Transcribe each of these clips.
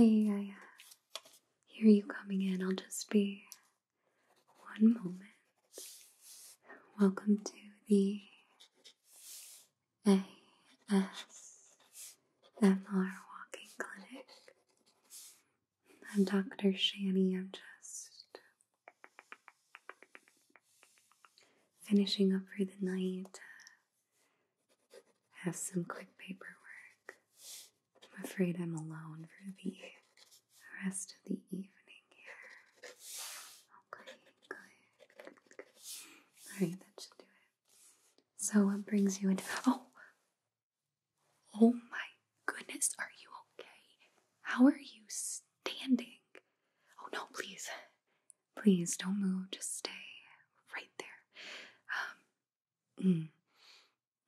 I, I hear you coming in. I'll just be one moment. Welcome to the ASMR Walking Clinic. I'm Dr. Shanny. I'm just Finishing up for the night, uh, have some quick paperwork. I'm afraid I'm alone for the rest of the evening here. Okay, good. good, good. Alright, that should do it. So, what brings you in? Oh! Oh my goodness, are you okay? How are you? standing. Oh no, please. Please don't move. Just stay right there. Um,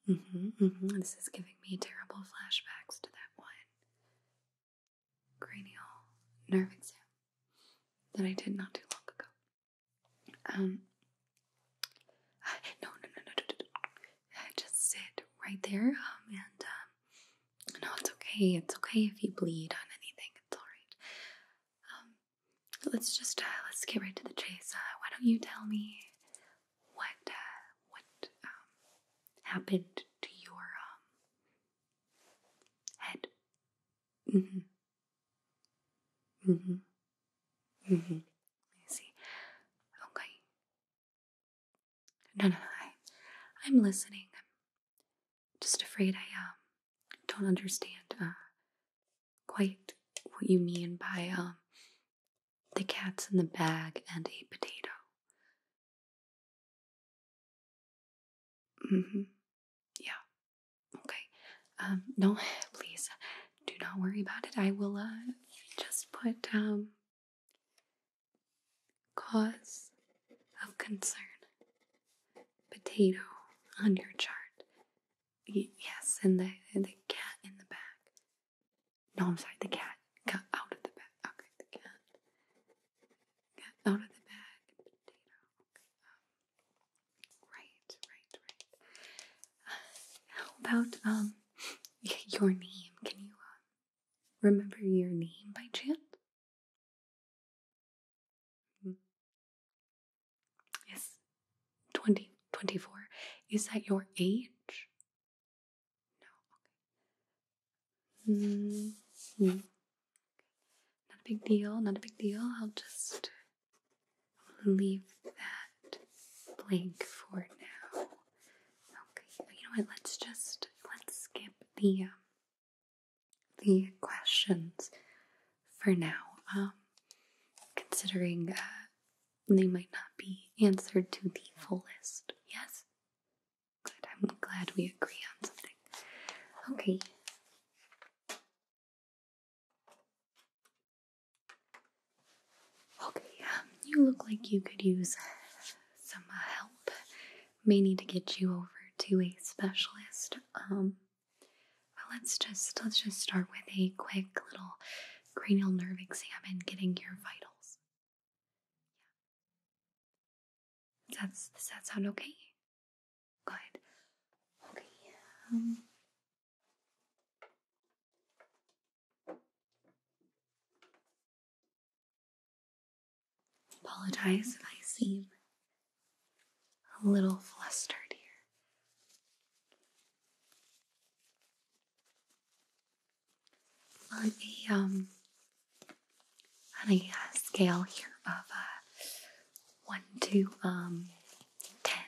mm. mm-hmm, mm-hmm. This is giving me terrible flashbacks to that one cranial nerve exam that I did not too long ago. Um, no, no, no, no, just sit right there um, and um, no, it's okay. It's okay if you bleed on anything. It's all right. Um, let's just uh, let's get right to the chase. Uh, why don't you tell me what uh, what um, happened to your um, head? Mhm. Mm mhm. Mm mhm. Mm I see. Okay. No, no, I, I'm listening. I'm just afraid I um, don't understand uh, quite what you mean by um, the cat's in the bag and a potato. Mm-hmm. Yeah. Okay. Um, no, please do not worry about it. I will uh, just put um, Cause of concern. Potato on your chart. yes, and the, the cat in the bag. No, I'm sorry, the cat got out of the bag. Okay, the cat got out of the bag. Potato. Um, right, right, right. how about um your name? Can you um, remember your name by chance? Hmm. Yes, 20, 24. Is that your age? No, okay. Hmm. Hmm. Not a big deal, not a big deal. I'll just leave that blank for now. Okay, you know what? Let's just let's skip the um, the questions for now. Um, considering uh, they might not be answered to the fullest. Yes. Good. I'm glad we agree on something. Okay. Okay, um, you look like you could use some uh, help, may need to get you over to a specialist. Um, but let's just let's just start with a quick little cranial nerve exam and getting your vitals. Yeah. does that sound okay? Good. Okay. Um. Apologize if I seem a little flustered here. On a um uh, scale here of uh, one to um, ten,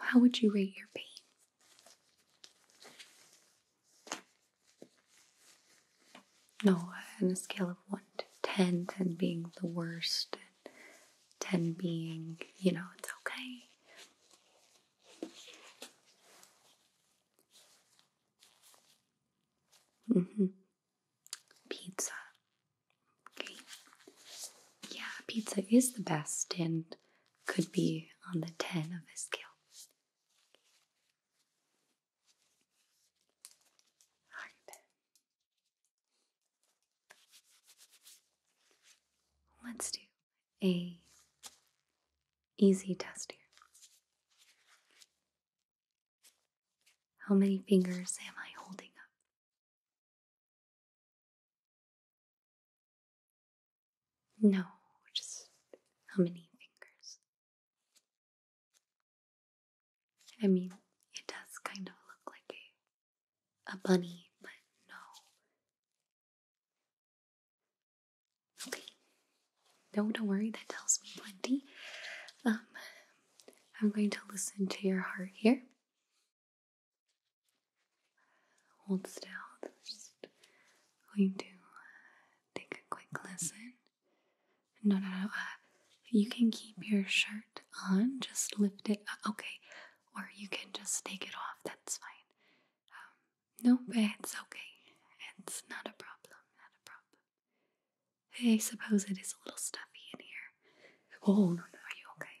how would you rate your pain? No, on a scale of 1 to 10, 10 being the worst, and 10 being, you know, it's okay. hmm Pizza. Okay. Yeah, pizza is the best and could be on the 10 of a scale. Heart. Let's do a easy test here. How many fingers am I holding up? No, just how many fingers? I mean, it does kind of look like a, a bunny, but no. Okay, don't worry, that tells me plenty. Um, I'm going to listen to your heart here hold still. Just going to uh, take a quick listen. No, no, no. Uh, you can keep your shirt on. Just lift it. Up. Okay, or you can just take it off. That's fine. No um, nope, it's okay. It's not a problem. Not a problem. I suppose it is a little stuffy in here. Oh no, no. Are you okay?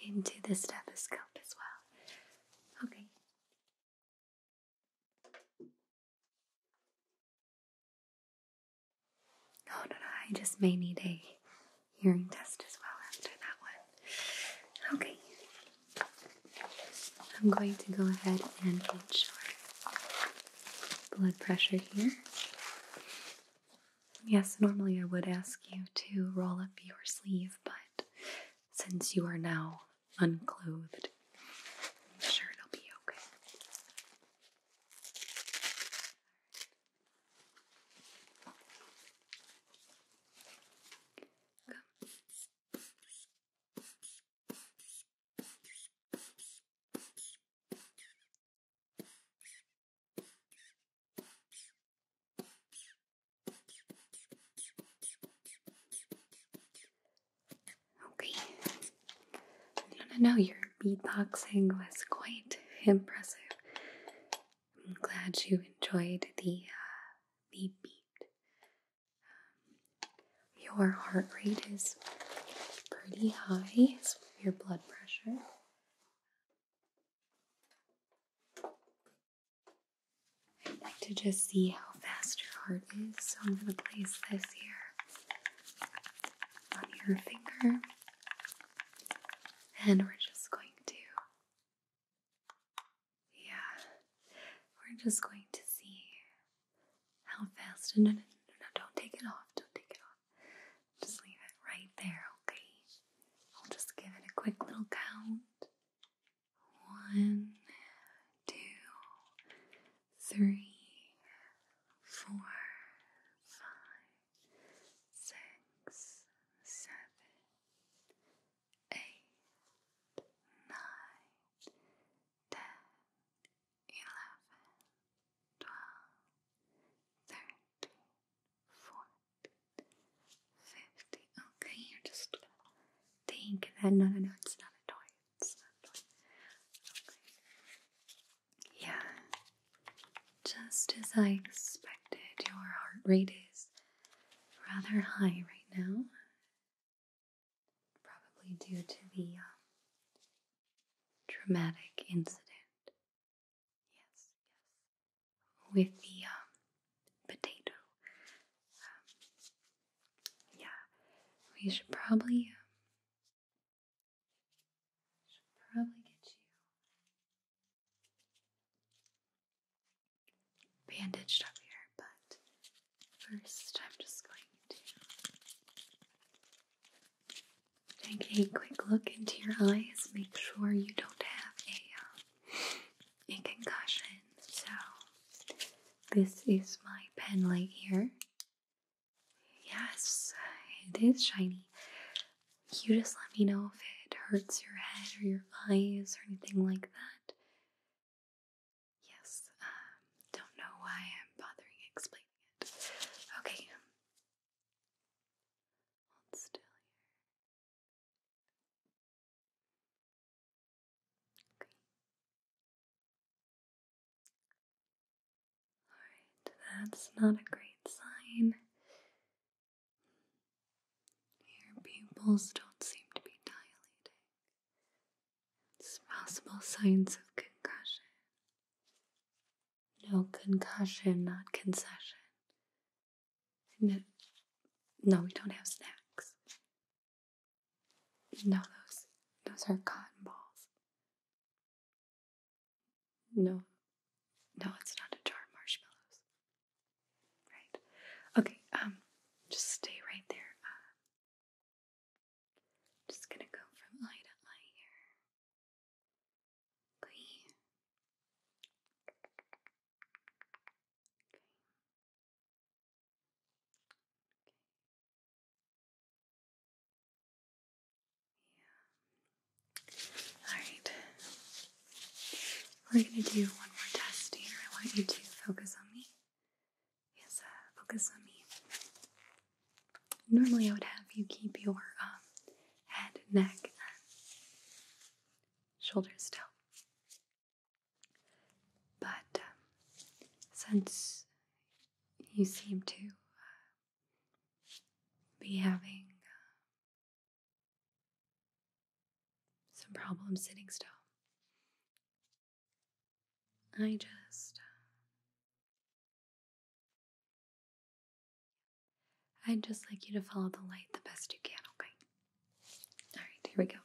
into the stethoscope as well. Okay. No, no, no, I just may need a hearing test as well after that one. Okay. I'm going to go ahead and get your blood pressure here. Yes, normally I would ask you to roll up your sleeve, but since you are now unclothed, I'm sure it'll be okay. Okay. I don't know, your beatboxing was quite impressive. I'm glad you enjoyed the, uh, the beat. Um, your heart rate is pretty high, your blood pressure. I'd like to just see how fast your heart is, so I'm going to place this here on your finger. And we're just going to, yeah, we're just going to see how fast, no, no, no, no, don't take it off, don't take it off. Just leave it right there, okay? I'll just give it a quick little count. One, two, three, four, five, six, seven, eight, nine, ten, eleven, twelve, thirteen, fourteen. 50. Okay, you're just think no, no, no, it's not a toy. It's not a toy. Okay. Yeah, just as I expected, your heart rate is rather high right now. Probably due to the um, traumatic incident Yes, yes. With the um, potato. Um, yeah, we should probably um, should probably get you bandaged up here, but first I'm just going to Take a quick look into your eyes. Make sure you don't have a, uh, a concussion. So, this is my pen light here. Yes, it is shiny. You just let me know if it hurts your head or your eyes or anything like that. Yes, um, don't know why I'm bothering explaining it. Okay, Alright, that's not a great sign. Your pupils don't seem to be dilating. It's possible signs of concussion. No concussion, not concession. No, no, we don't have snacks. No, those those are cotton balls. No, no, it's not a jar of marshmallows. Right? Okay. Um, just stay right there. Uh, just gonna go from eye to eye here. Alright. We're going to do one more test here. I want you to focus on me. Yes, uh, focus on me. Normally I would have you keep your um, head, neck, shoulders down. But um, since you seem to uh, be having uh, some problems sitting still, I just uh, I'd just like you to follow the light the best you can, okay? Alright, here we go.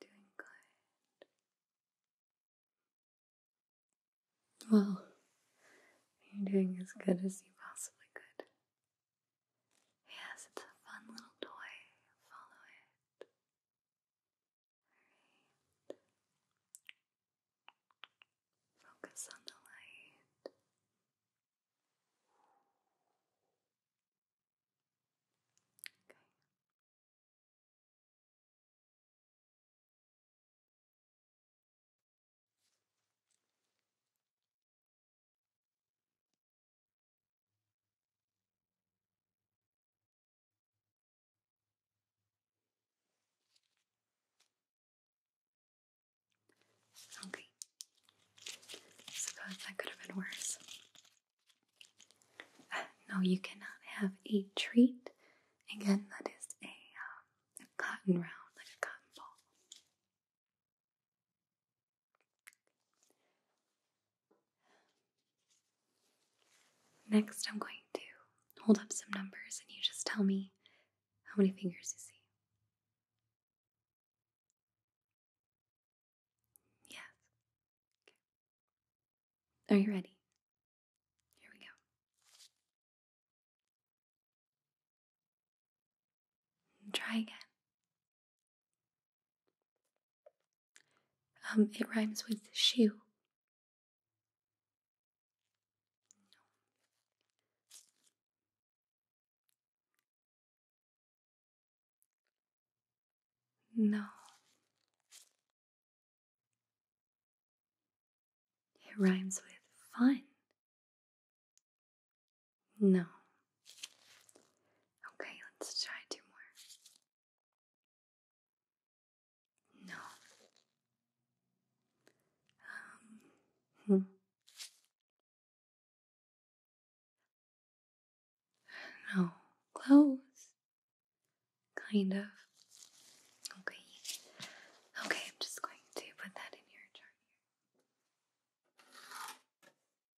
Doing good. Well, you're doing as good as you possibly could. Yes, it's a fun little toy. Follow it. Alright. Focus on the light. Okay. Okay. Suppose that could have been worse. no, you cannot have a treat. Again, that is a, um, a cotton round, like a cotton ball. Next, I'm going to hold up some numbers and you just tell me how many fingers you see. Yes. Are you ready? Here we go. try again. Um, it rhymes with shoe. No. It rhymes with fun. No. Okay, let's try two more. No. Um, hmm. No. Close. Kind of. Okay. Okay, I'm just going to put that in your chart.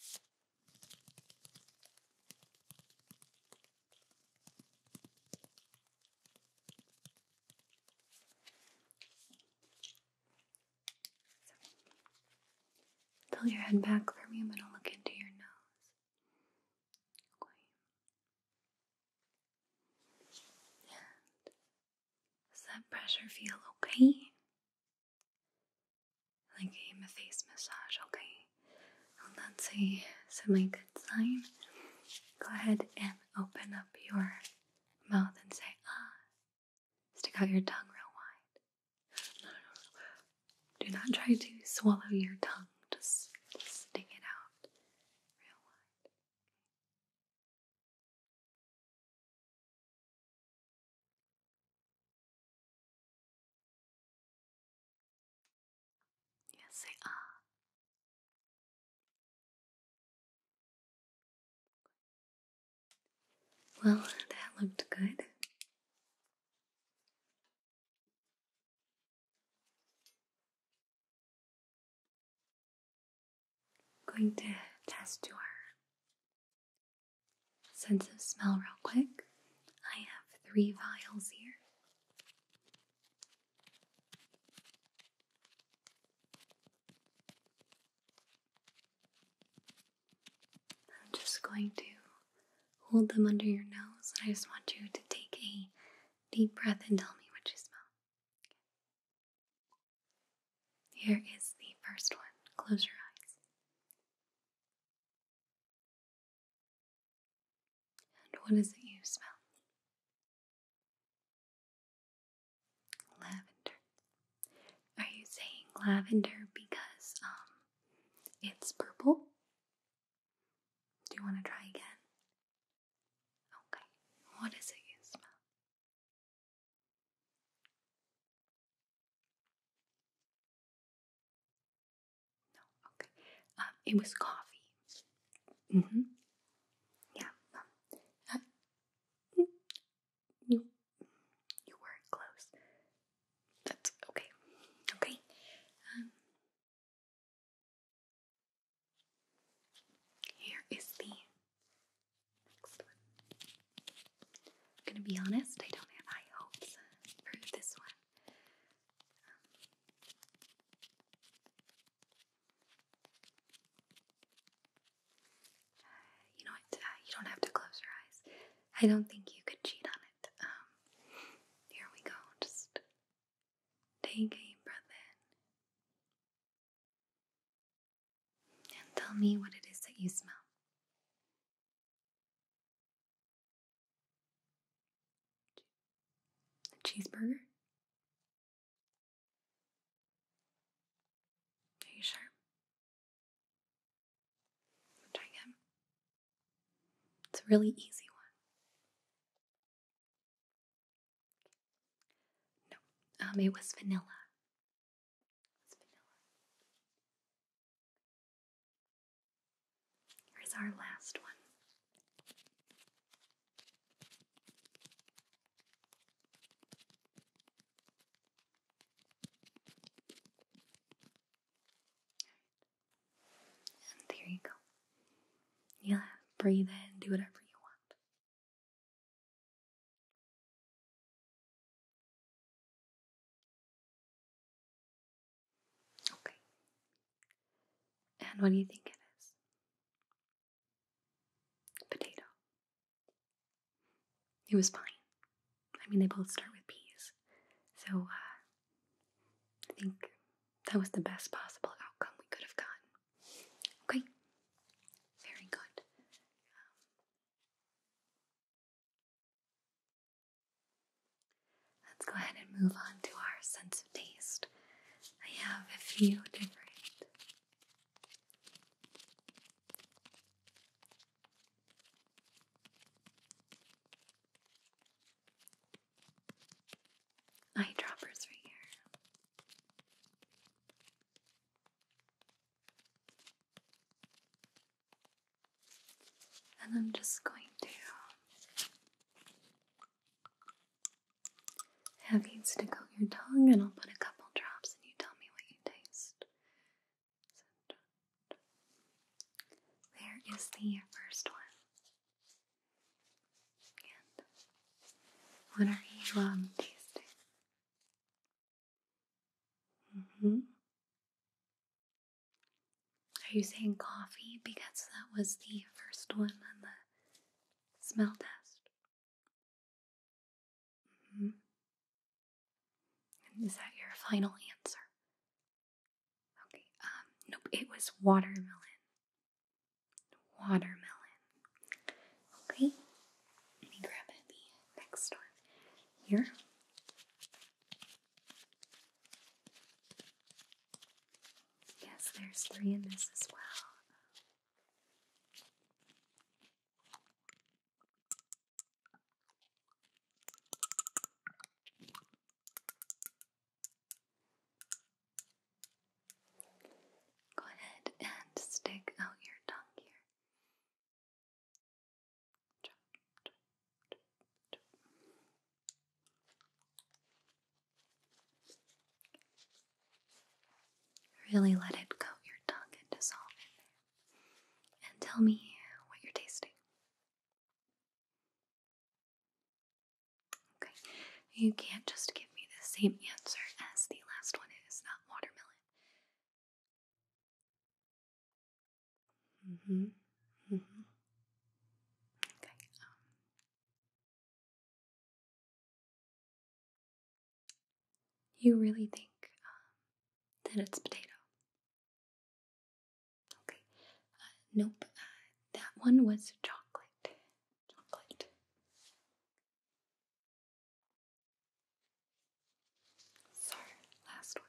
So, pull your head back for me. I'm going to look into your nose. Does that pressure feel okay? Like a face massage, okay? Well, that's a semi good sign. Go ahead and open up your mouth and say, ah. Stick out your tongue real wide. No, no, no. Do not try to swallow your tongue. Just, just stick it out real wide. Yes, they are. Well, that looked good. Going to test your sense of smell real quick. I have three vials here. I'm just going to hold them under your nose, and I just want you to take a deep breath and tell me what you smell. Here is the first one. Close your eyes. And what is it you smell? Lavender. Are you saying lavender because um it's purple? Do you want to try again? Okay. What is it you smell? No, okay. Um, it was coffee. hmm. Yeah. Um, uh, you, you were close. That's okay. Okay. Um, here is the next one. I'm gonna be honest, I don't have high hopes for this one. Um, you know uh, you don't have to close your eyes. I don't think you could cheat on it. Um, here we go. Just take a breath in. And tell me what it is that you smell. cheeseburger? Are you sure? Try again. It's a really easy one. No, um, it was vanilla. It vanilla. Here's our last one. And there you go. you breathe in, do whatever you want. Okay. And what do you think it is? Potato. It was fine. I mean, they both start with P's, So, uh, I think that was the best possible outcome we could have gotten. Okay, very good. Um, let's go ahead and move on to our sense of taste. I have a few different eyedroppers right here. And I'm just going to have you stick out your tongue, and I'll put a couple drops, and you tell me what you taste. there is the first one what are you um tasting? Mm-hmm. Are you saying coffee because that was the first one on the smell test? Mm-hmm. is that your final answer? Okay. Um, nope. It was watermelon watermelon. Okay, let me grab the next one here. Yes, there's three in this as well. Go ahead and stick out your tongue here. Really let it coat your tongue and dissolve in there. And tell me what you're tasting. Okay, you can't just give me the same answer as the last one. It is not watermelon. hmm. Okay. Um, you really think um, that it's potato? Okay. Uh, nope. Uh, that one was chocolate. Chocolate. So, last one.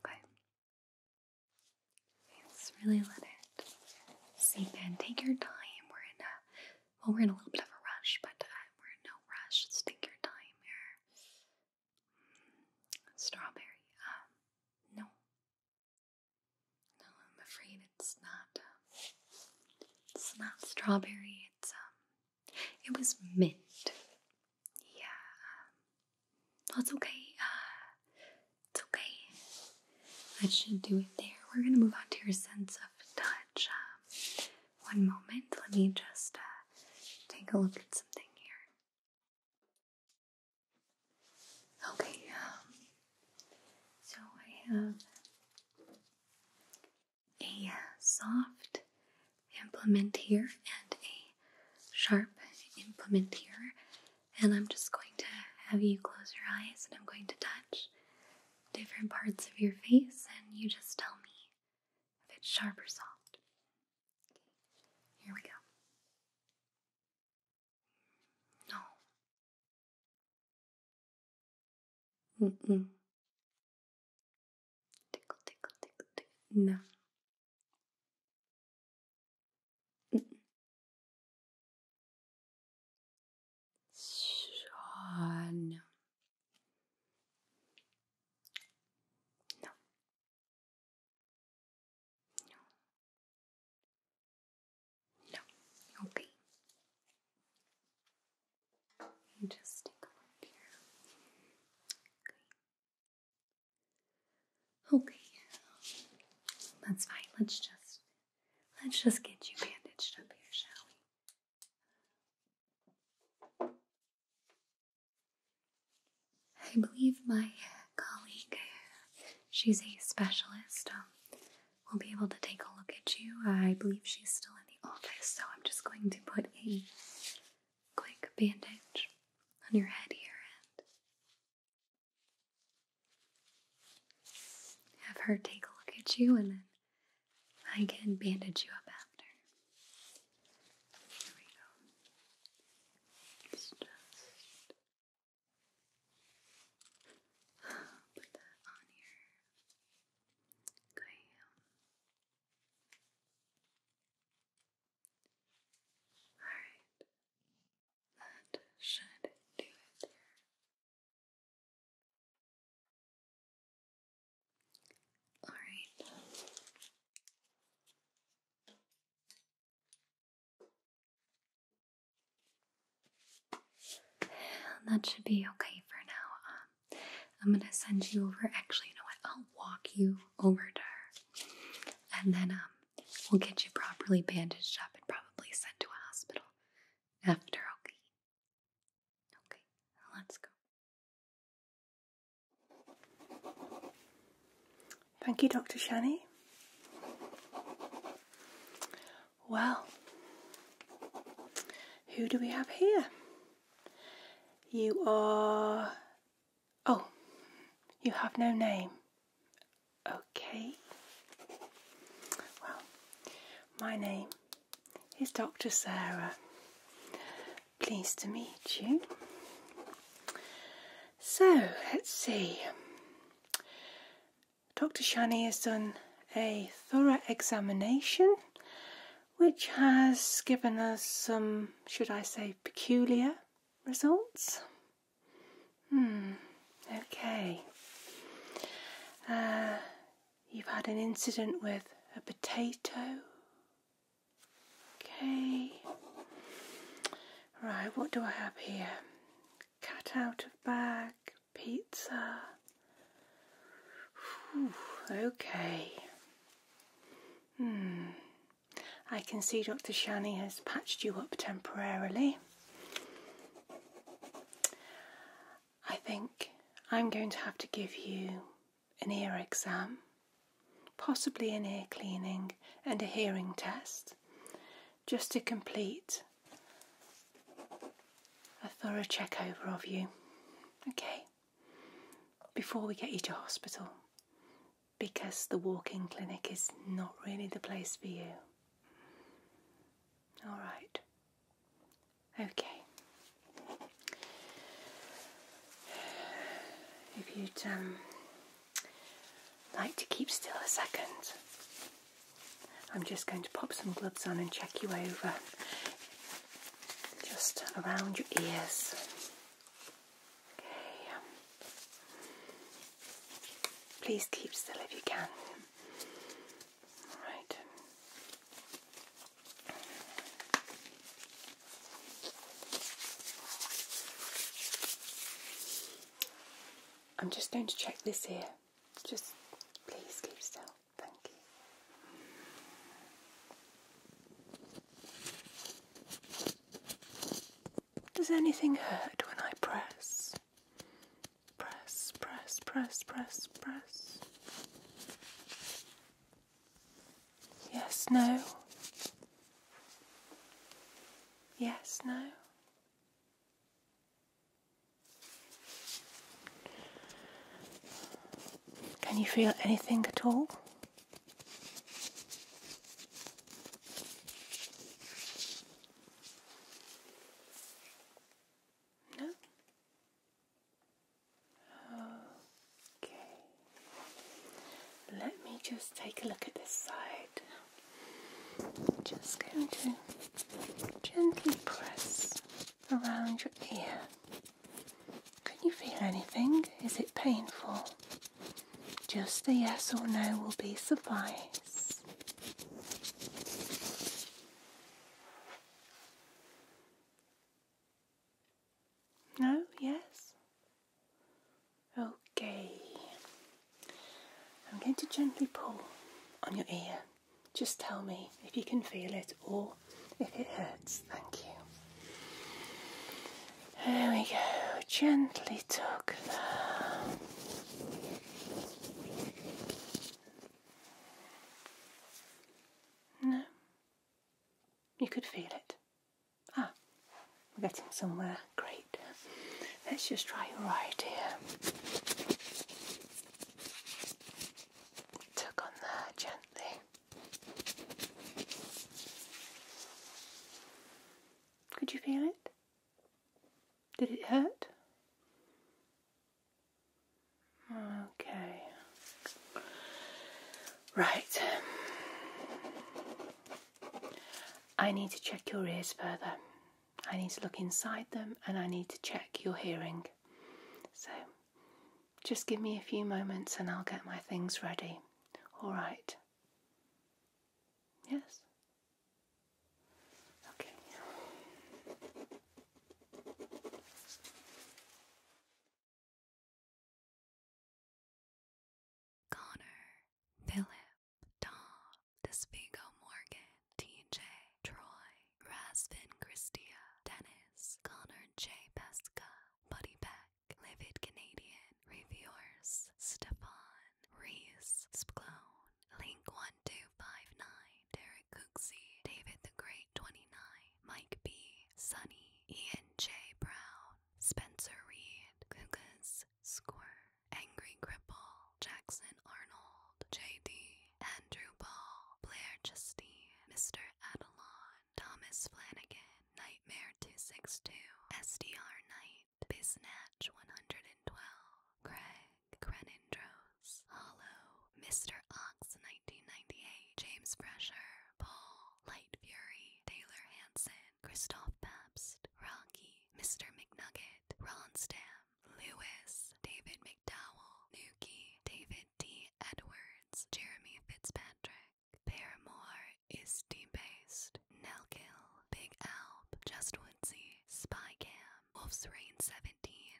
Okay. let really let it seep in. Take your time. We're in a well, we're in a little bit of a rush, but uh, we're no rush. take your time here. Mm, strawberry. Um, no. No, I'm afraid it's not. Um, it's not strawberry. It's um it was mint. Yeah. That's well, okay. Uh, it's okay. That should do it there. We're going to move on to your sense of touch. Um, one moment. Let me just uh, take a look at something here. Okay. Um, so I have a uh, soft implement here and a sharp implement here. And I'm just going to have you close your eyes and I'm going to touch different parts of your face and you just tell me if it's sharp or soft. here we go. No. Tickle, tickle, tickle, tickle. No. Mm -mm. Oh, no. No. No. No. Okay. You just take a look here. Okay. Okay, that's fine. Let's just let's just get you bandaged up here, shall we? I believe my colleague, she's a specialist, um, will be able to take a look at you. I believe she's still in the office, so I'm just going to put a quick bandage on your head here and have her take a look at you and then I can bandage you up after. Here we go. just put that on here. Alright, that should do it Alright. that should be okay for now. Um, I'm gonna send you over. Actually, you know what? I'll walk you over to her, and then um, we'll get you properly bandaged up and probably sent to a hospital after. Okay. Okay. Let's go. Thank you, Dr. Shani. Well, who do we have here? You are. Oh, you have no name. Okay. Well, my name is Dr. Sarah. Pleased to meet you. So, let's see. Dr. Shani has done a thorough examination which has given us some, should I say, peculiar results. Hmm, okay. Uh, you've had an incident with a potato. Okay. Right, what do I have here? Cat out of bag, pizza. okay. Hmm. I can see Dr. Shani has patched you up temporarily. I think I'm going to have to give you an ear exam, possibly an ear cleaning and a hearing test, just to complete a thorough check over of you. Okay before we get you to hospital because the walk in clinic is not really the place for you. All right. Okay. If you'd um, like to keep still a second, I'm just going to pop some gloves on and check you over just around your ears. Okay. Um, please keep still if you can. All right. I'm just going to check this here. Just please keep still. Does anything hurt when I press? Press, press, press, press, press. Yes, no. Yes, no. Can you feel anything at all? No? Okay. Let me just take a look at this side. just going to gently press around your ear. Can you feel anything? Is it painful? Just a yes or no will be suffice. No? Yes? Okay. I'm going to gently pull on your ear. Just tell me if you can feel it or if it hurts. Thank you. There we go. Gently tuck that. No. You could feel it. Ah, we're getting somewhere. Great. Let's just try your right here. on there gently. Could you feel it? Did it hurt? Okay. Right. I need to check your ears further. I need to look inside them and I need to check your hearing. So just give me a few moments and I'll get my things ready. All right. Yes? Okay. Connor, Philip, Dom, Despigo Morgan, TJ, Troy, Rasvin Christia, Dennis, Connor J. Pesca, Buddy Beck, Livid Canadian, Reviewers, Stefan, Reese, Spclone, Link1259, Derek Cooksey, David the Great 29, Mike B, Sunny, Ian J. Brown, Spencer Reed, Kukas, Square, Angry Cripple, Jackson Arnold, J.D. Andrew Ball, Blair Justine, Mr. Adelon, Thomas Flanagan, Nightmare 262, SDR Knight, Biznatch 112, Craig, Crenindros, Hollow, Mr. Ox 1998, James Fresher, Paul, Light Fury, Taylor Hanson, Christoph Pabst, Rocky, Mr. McNugget, Ron Stam, Lewis, David McDowell, Nuki, David D. Edwards, records, Jeremy Fitzpatrick. Paramore is debased. Nelkill, Big Alp, Just Woodsy, Spy Cam, Wolf's Reign, 17,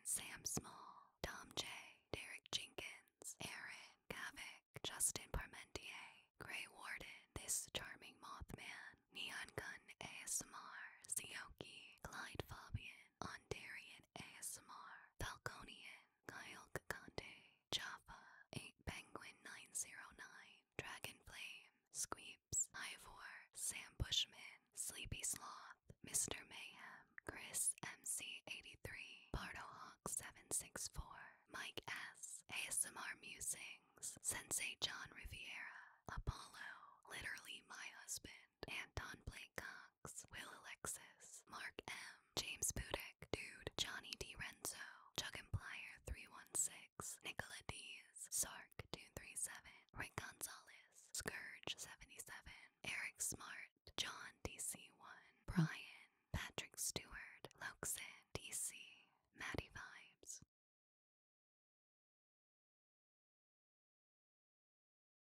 Sam Small, Tom J, Derek Jenkins, Aaron, Kavik, Justin Parmentier, Grey Warden, This Charming Mothman, Neon Gun ASMR, Sioki, Clyde Fabian, Ondarian ASMR, Falconian, Kyle Kakante, Java, 8 Penguin 909, Dragon Flame, Squeeps, Ivor, Sam Bushman, Sleepy Sloth, Mr. Mayhem, Chris MC83, Hawk 764 Mike S, ASMR Musings, Sensei John Riviera, Apollo, literally my husband, Anton Blake Cox, Will Alexis, Mark M, James Budick, Dude, Johnny D. Renzo, Chuck and Plyer 316, Nicola Dees, Sark 237, Rick Gonzalez, Scourge 77, Eric Smart, John DC1, Brian, Patrick Stewart, Loxin, DC, Maddie Vibes.